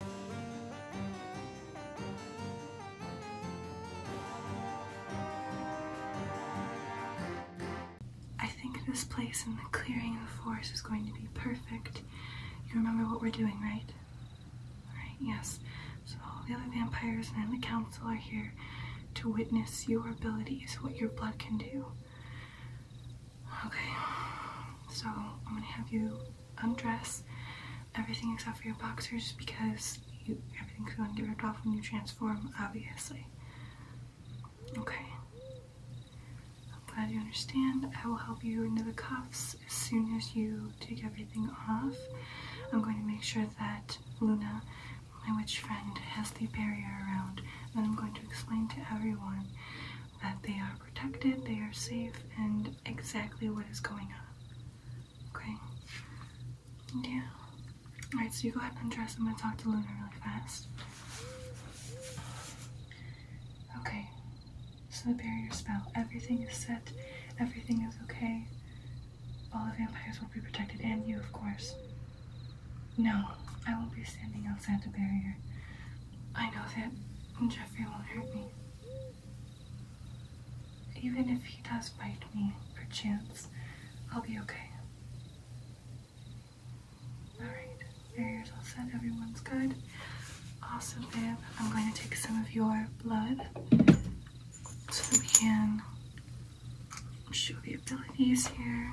I think this place in the clearing of the forest is going to be perfect. You remember what we're doing, right? Right. yes. So all the other vampires and the council are here to witness your abilities, what your blood can do. Okay, so I'm gonna have you undress um, everything except for your boxers because everything's going to get ripped off when you transform, obviously. Okay. I'm glad you understand. I will help you into the cuffs as soon as you take everything off. I'm going to make sure that Luna, my witch friend, has the barrier around. Then I'm going to explain to everyone that they are protected, they are safe, and exactly what is going on. Okay? Yeah. Alright, so you go ahead and dress. I'm gonna talk to Luna really fast. Okay. So the barrier spell. Everything is set. Everything is okay. All the vampires will be protected, and you, of course. No, I won't be standing outside the barrier. I know that Jeffrey won't hurt me. Even if he does bite me, perchance, I'll be okay. Alright, barriers all set, everyone's good. Awesome, babe. I'm going to take some of your blood so we can show the abilities here.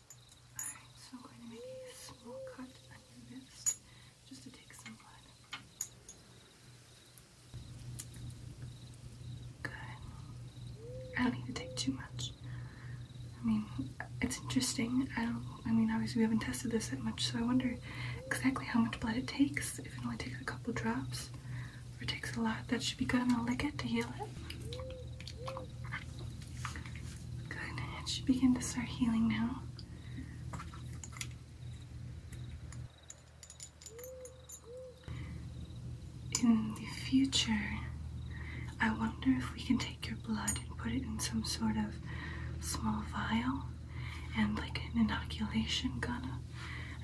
Alright, so I'm going to make a small cut on your just to take some blood. Good. I don't need to take too much. I mean, it's interesting. I don't, I mean, obviously we haven't tested this that much, so I wonder exactly how much blood it takes. If it only takes a couple drops or it takes a lot, that should be good. I'm going to lick it to heal it. Good. It should begin to start healing now. In the future, I wonder if we can take your blood and put it in some sort of small vial and like an inoculation gun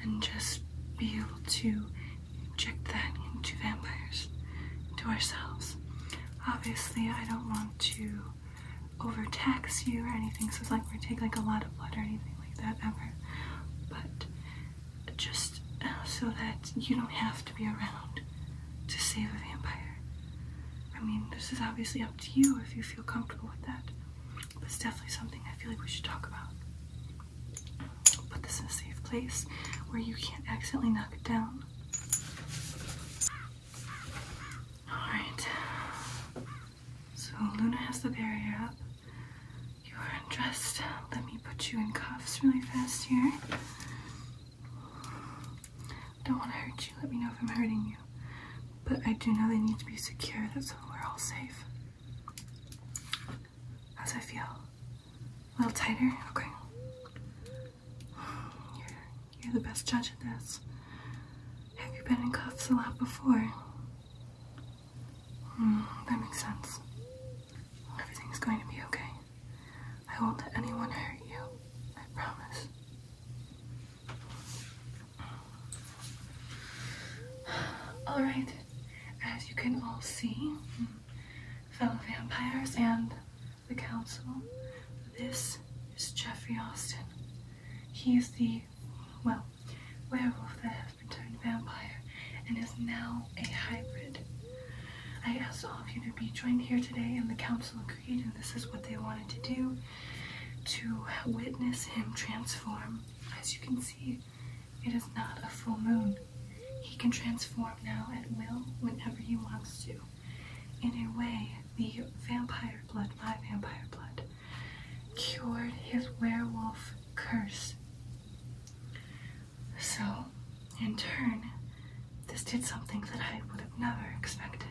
and just be able to inject that into vampires, to ourselves obviously I don't want to overtax you or anything, so it's like we take like a lot of blood or anything like that ever. But just uh, so that you don't have to be around to save a vampire. I mean, this is obviously up to you if you feel comfortable with that. But it's definitely something I feel like we should talk about. Put this in a safe place where you can't accidentally knock it down. Alright. So Luna has the barrier up. You are undressed. Let me put you in cuffs really fast here. don't want to hurt you. Let me know if I'm hurting you. But I do know they need to be secure. That's so we're all safe. How's I feel? A little tighter? Okay. You're, the best judge of this. Have you been in cuffs a lot before? Hmm, that makes sense. Everything's going to be okay. I won't let anyone hurt you. I promise. Alright, as you can all see, fellow vampires and the council. This is Jeffrey Austin. He is the, well, werewolf that has been turned vampire and is now a hybrid. I asked all of you to be joined here today, and the council agreed, and this is what they wanted to do to witness him transform. As you can see, it is not a full moon. He can transform now at will whenever he wants to in a way, the vampire blood, my vampire blood, cured his werewolf curse. So, in turn, this did something that I would have never expected.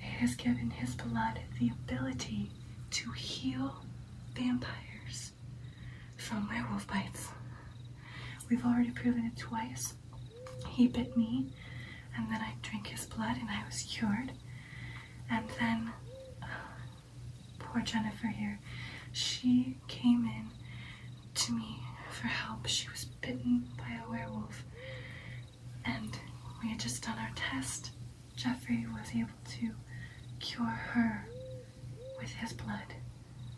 It has given his blood the ability to heal vampires from werewolf bites. We've already proven it twice he bit me, and then I drank his blood, and I was cured. And then, poor Jennifer here, she came in to me for help. She was bitten by a werewolf, and we had just done our test. Jeffrey was able to cure her with his blood.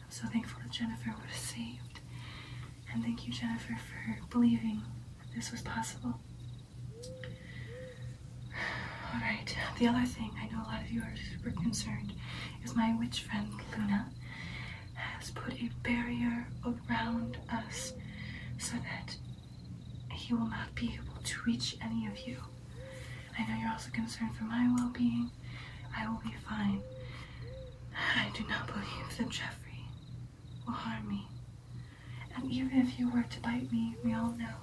I'm so thankful that Jennifer was saved. And thank you, Jennifer, for believing that this was possible. Alright, the other thing I know a lot of you are super concerned is my witch friend Luna has put a barrier around us so that he will not be able to reach any of you. I know you're also concerned for my well being. I will be fine. I do not believe that Geoffrey will harm me. And even if you were to bite me, we all know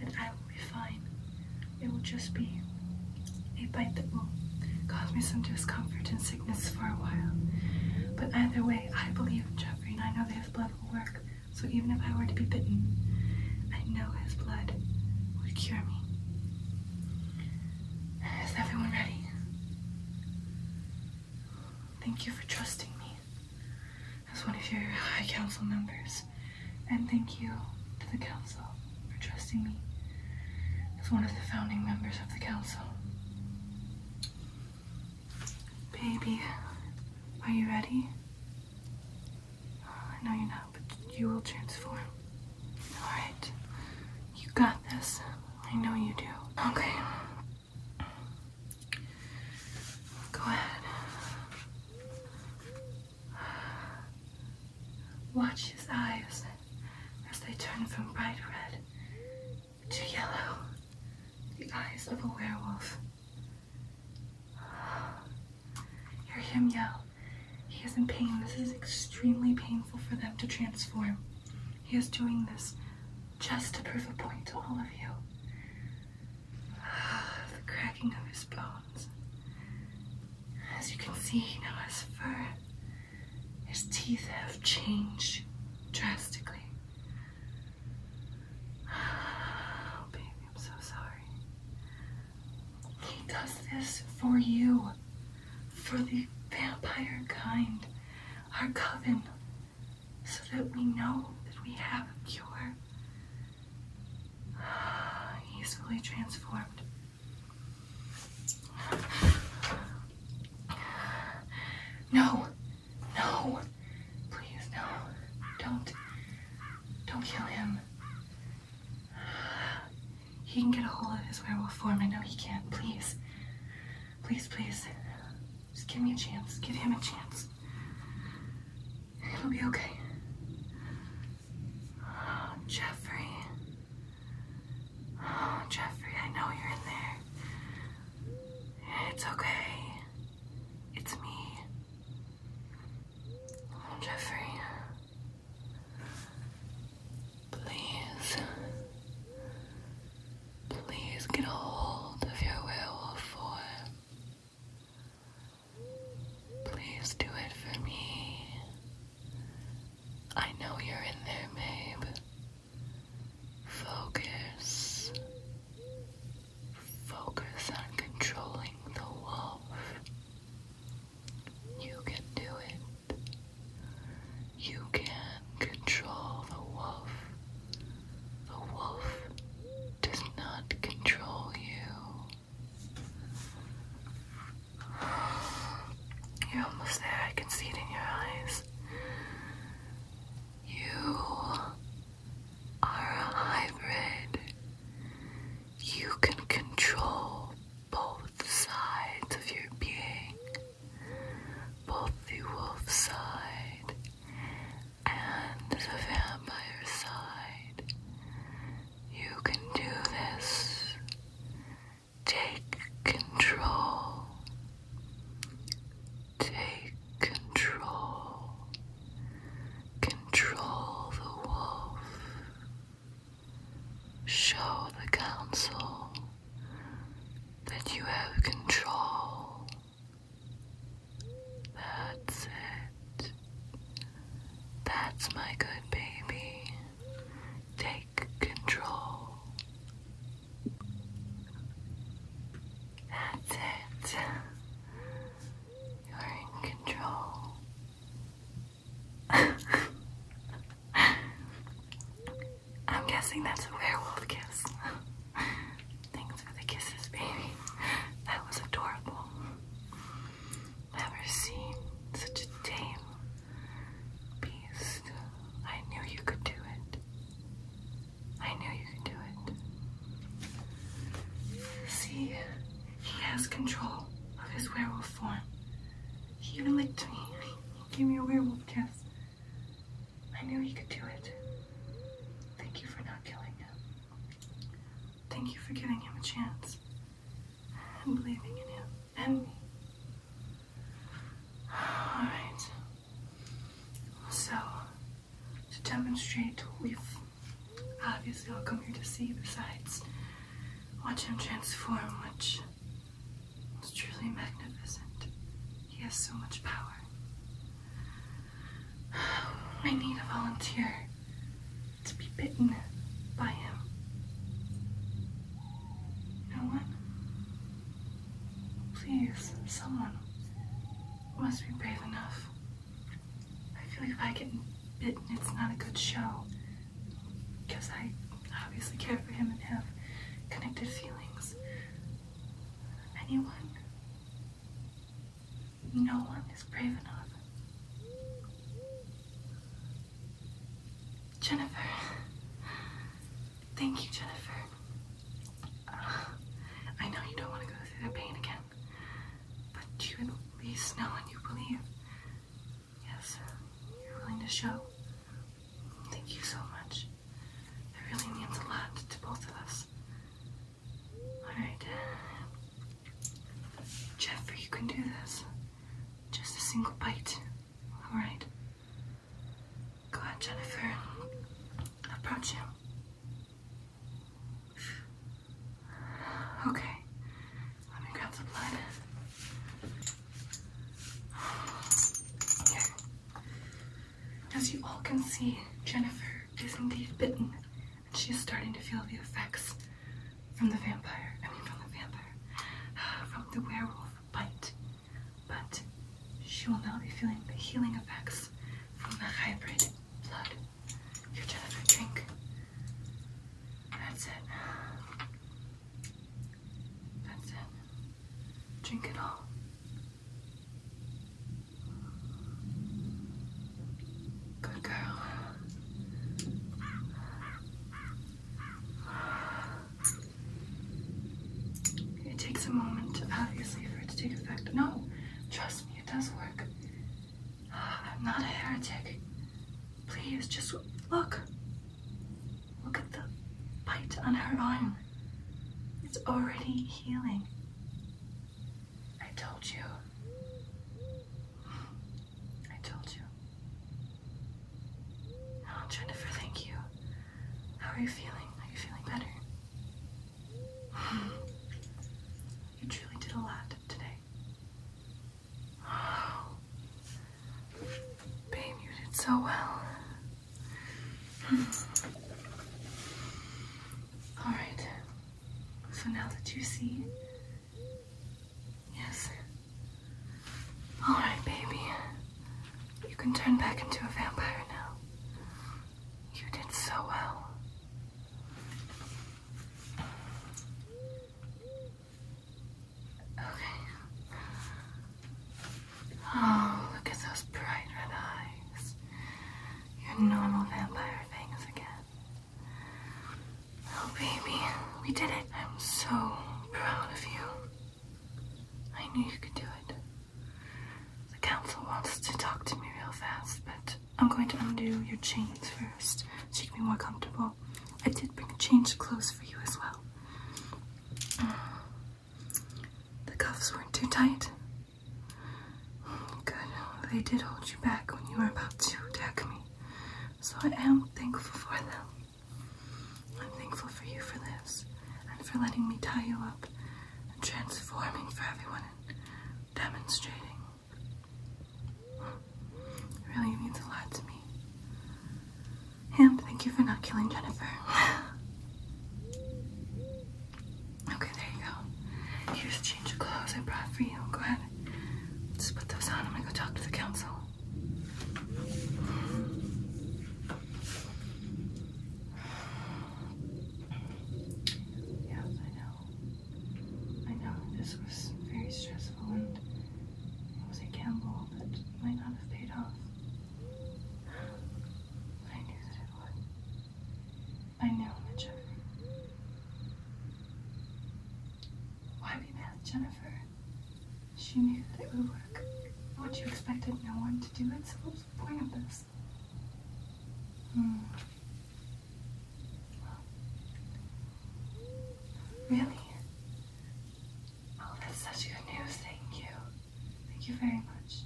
that I will be fine. It will just be a bite that will cause me some discomfort and sickness for a while. But either way, I believe in Jeffrey and I know that his blood will work. So even if I were to be bitten, I know his blood would cure me. Is everyone ready? Thank you for trusting me as one of your High Council members, and thank you to the Council for trusting me as one of the founding members of the Council. Baby, are you ready? I uh, know you're not, but you will transform. Alright. You got this. I know you do. Okay. Go ahead. Watch his eyes as they turn from bright red to yellow. The eyes of a werewolf. Hear him yell, he is in pain. This is extremely painful for them to transform. He is doing this just to prove a point to all of you. Ah, the cracking of his bones. As you can see, now his fur, his teeth have changed drastically. Oh, baby, I'm so sorry. He does this for you, for the vampire kind, our coven, so that we know that we have a cure. He's fully transformed. No, no, please no, don't, don't kill him. He can get a hold of his werewolf form. I know he can. Please. Please, please. Just give me a chance. Give him a chance. It'll be okay. Jeffrey. Jeffrey, I know you're in there. It's okay. It's me. Jeffrey. Please, please get a hold of your werewolf form. Please do it for me. I know you're in there, Mabe. Focus. Focus on controlling the wolf. You can do it. You can control the wolf. The wolf does not control you. You're almost there. I can see it in your eyes. You are a hybrid. You can control both sides of your being, both the wolf side and the vampire side. You can do this. Take control. Take control. Control the wolf. Show the council that you have control. That's it. That's my good baby. Take control. That's it. You're in control. I'm guessing that's a werewolf kiss. Thanks for the kisses, baby. That was adorable. Never seen such a tame beast. I knew you could do it. I knew you could do it. See, he has control of his werewolf form. He even licked me. He gave me a werewolf kiss. I knew he could do it. Thank you for not killing him. Thank you for giving him a chance. And believing in him. And me. Alright. So, to demonstrate we've Obviously, I'll come here to see. Besides, watch him transform, which was truly magnificent. He has so much power. I need a volunteer to be bitten by him. No one? Please, someone must be brave enough. I feel like if I get bitten, it's not a good show. Because I obviously care for him and have connected feelings. Anyone? No one is brave enough. Jennifer. Thank you, Jennifer. I know you don't want to go through that pain again. But you at least know and you believe. Yes, you're willing to show. Thank you so much. That really means a lot to both of us. Alright. Jeffrey, you can do this. Just a single bite. Alright. Go ahead, Jennifer. Approach him. Okay. Let me grab the blood. As you all can see, Jennifer is indeed bitten, and she is starting to feel the effects from the vampire. I mean, from the vampire. From the werewolf bite. But she will now be feeling the healing effects from the hybrid blood. Here, Jennifer, drink that's it. That's it. Drink it all. Good girl. It takes a moment, obviously, for it to take effect. No, trust me, it does work. I'm not a heretic. Please, just look. Look at the bite on her arm. It's already healing. I told you. I told you. Oh, Jennifer, thank you. How are you feeling? Are you feeling better? You truly did a lot today. Babe, you did so well. Alright. So now that you see. Yes. Alright, baby. You can turn back into a vampire now. You did so well. Okay. Oh, look at those bright red eyes. Your normal vampire things again. Oh, baby, we did it. I'm so proud of you. I knew you could do it. The council wants to talk to me real fast, but I'm going to undo your chains first so you can be more comfortable. I did bring change clothes for you as well. The cuffs weren't too tight. Good. They did hold you back when you were about to attack me. So I am thankful for them. I'm thankful for you for this and for letting me tie you up and transforming for everyone and demonstrating it really means a lot to me. And thank you for not killing Jennifer. okay, there you go. Here's a change of clothes I brought for you. Go ahead. Just put those on. I'm gonna go talk to the council. Yes, I know. I know this was very stressful and it was a gamble that might not have paid off. I knew that it would. I knew that Jennifer. Why be mad Jennifer? She knew that it would work. What you expect expected no one to do it, so what was the point of this? Hmm. really? Oh, that's such good news. Thank you. Thank you very much.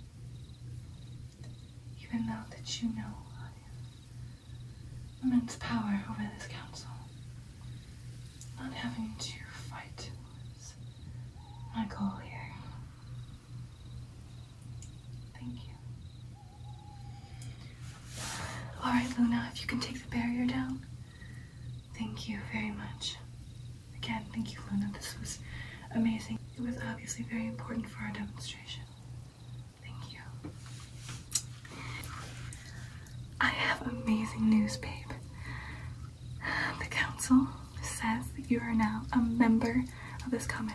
Even though that you know immense power over this council, not having to fight my goal here. Thank you. All right, Luna, if you can take the barrier down. Thank you very much. Again, thank you, Luna. This was amazing. It was obviously very important for our demonstration. Thank you. I have amazing news, babe. The council says that you are now a member of this comet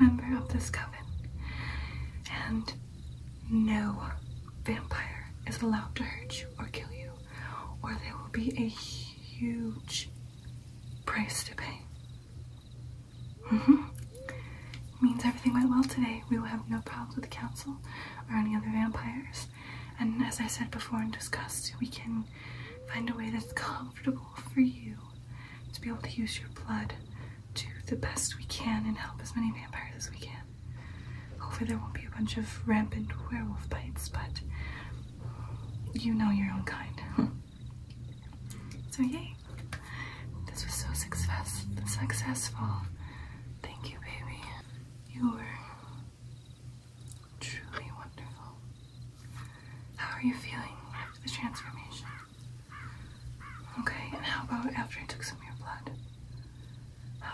member of this coven. And no vampire is allowed to hurt you or kill you, or there will be a huge price to pay. Mm hmm. Means everything went well today. We will have no problems with the council or any other vampires. And as I said before and discussed, we can find a way that's comfortable for you to be able to use your blood do the best we can and help as many vampires as we can. Hopefully, there won't be a bunch of rampant werewolf bites, but you know your own kind. so, yay! This was so success successful. Thank you, baby. You were Truly wonderful. How are you feeling after the transformation? Okay, and how about after I took some of your blood?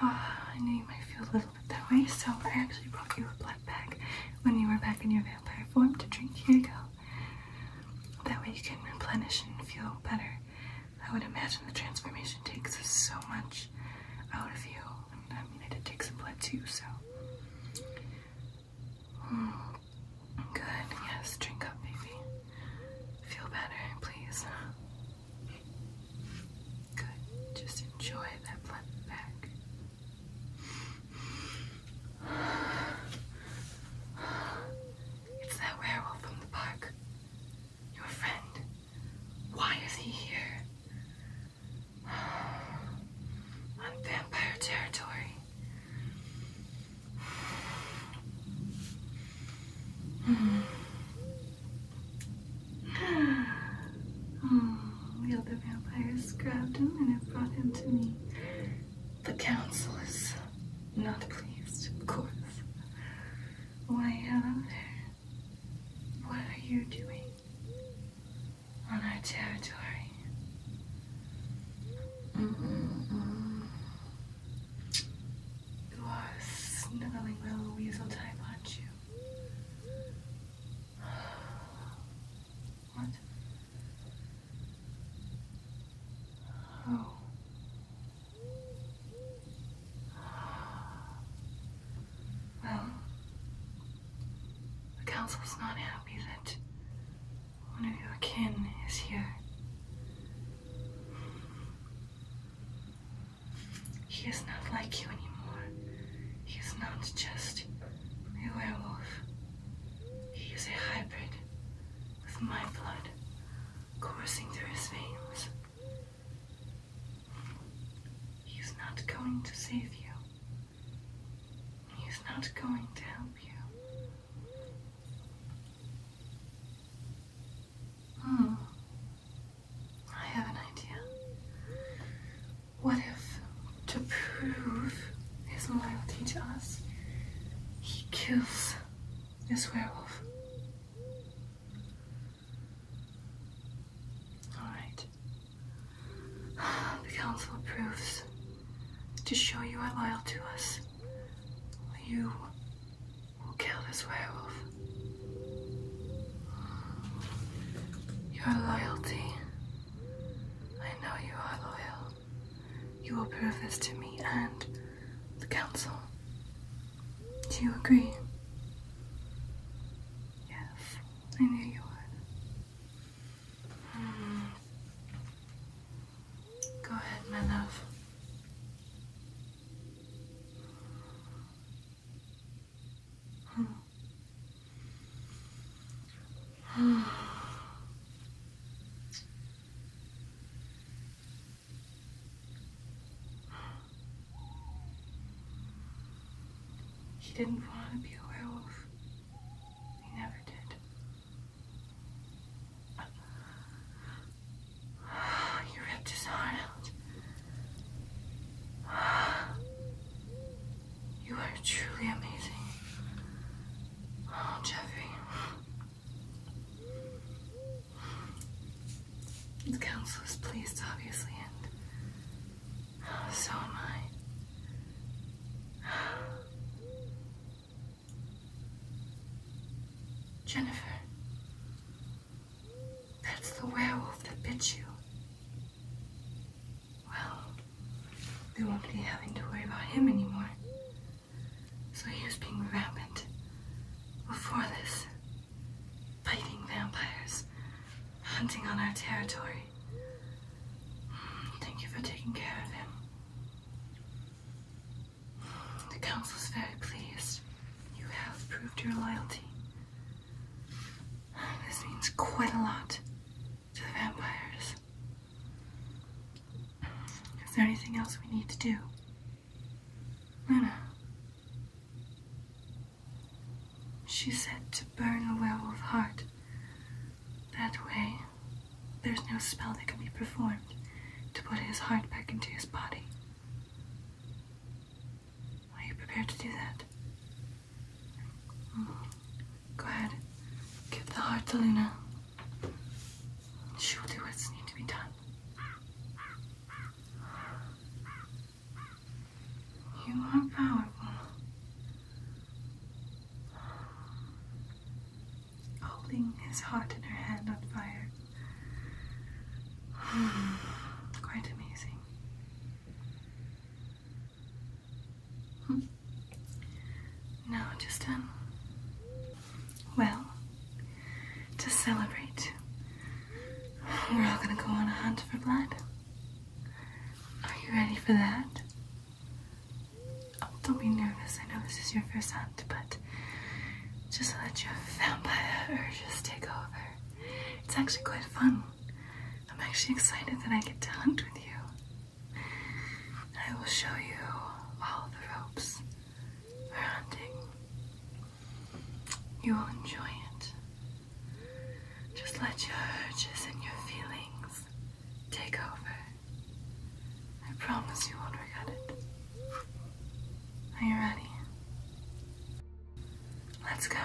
Oh, I know you might feel a little bit that way, so I actually brought you a blood bag when you were back in your vampire form to drink. Here you go. That way you can replenish and feel better. I would imagine the transformation takes so much out of you. I mean, I did take some blood too, so good. Yes, drink up, baby. Feel better, please. Good. Just enjoy that blood back. It's that werewolf from the park. Your friend. Why is he here? on vampire territory. Oh, the other vampires grabbed him and have brought him to me. The council is not pleased, of course. Why, uh, what are you doing on our territory. Mm-hmm. Mm-hmm. You are a sniveling little weasel type, aren't you? What? Oh. Well, the council is not happy that one of your kin is here. He is not like you anymore. He is not just a werewolf. He is a hybrid with my blood coursing through his veins. He is not going to save you. He's not going to help you. Hmm. I have an idea. What if, to prove his loyalty to us, he kills this werewolf? All right. The council approves. To show you are loyal to us, you will kill this werewolf. Your loyalty. I know you are loyal. You will prove this to me and the council. Do you agree? Yes, I knew you would. Hmm. Go ahead, my love. He didn't want to be a werewolf. He never did. He ripped his heart out. You are truly amazing. Oh, Jeffrey. The council is pleased, obviously, and so am I. Jennifer, that's the werewolf that bit you. Well, we won't be having to worry about him anymore. So he was being rampant before this. Fighting vampires hunting on our territory. Thank you for taking care of him. The council is very pleased. You have proved your loyalty. This means quite a lot to the vampires. Is there anything else we need to do? Luna. She said to burn a werewolf heart. That way, there's no spell that can be performed to put his heart back into his body. Are you prepared to do that? Mm. Go ahead. Give the heart to Luna. She will do what's needed to be done. You are powerful. Holding his heart in her hand on fire. Quite amazing. Hmm. just um, well, to celebrate, we're all gonna go on a hunt for blood. Are you ready for that? Oh, don't be nervous. I know this is your first hunt, but just let your vampire urges take over. It's actually quite fun. I'm actually excited that I get to hunt with you. I will show you all the ropes for hunting. You will enjoy it. Just let your urges and your feelings take over. I promise you won't regret it. Are you ready? Let's go.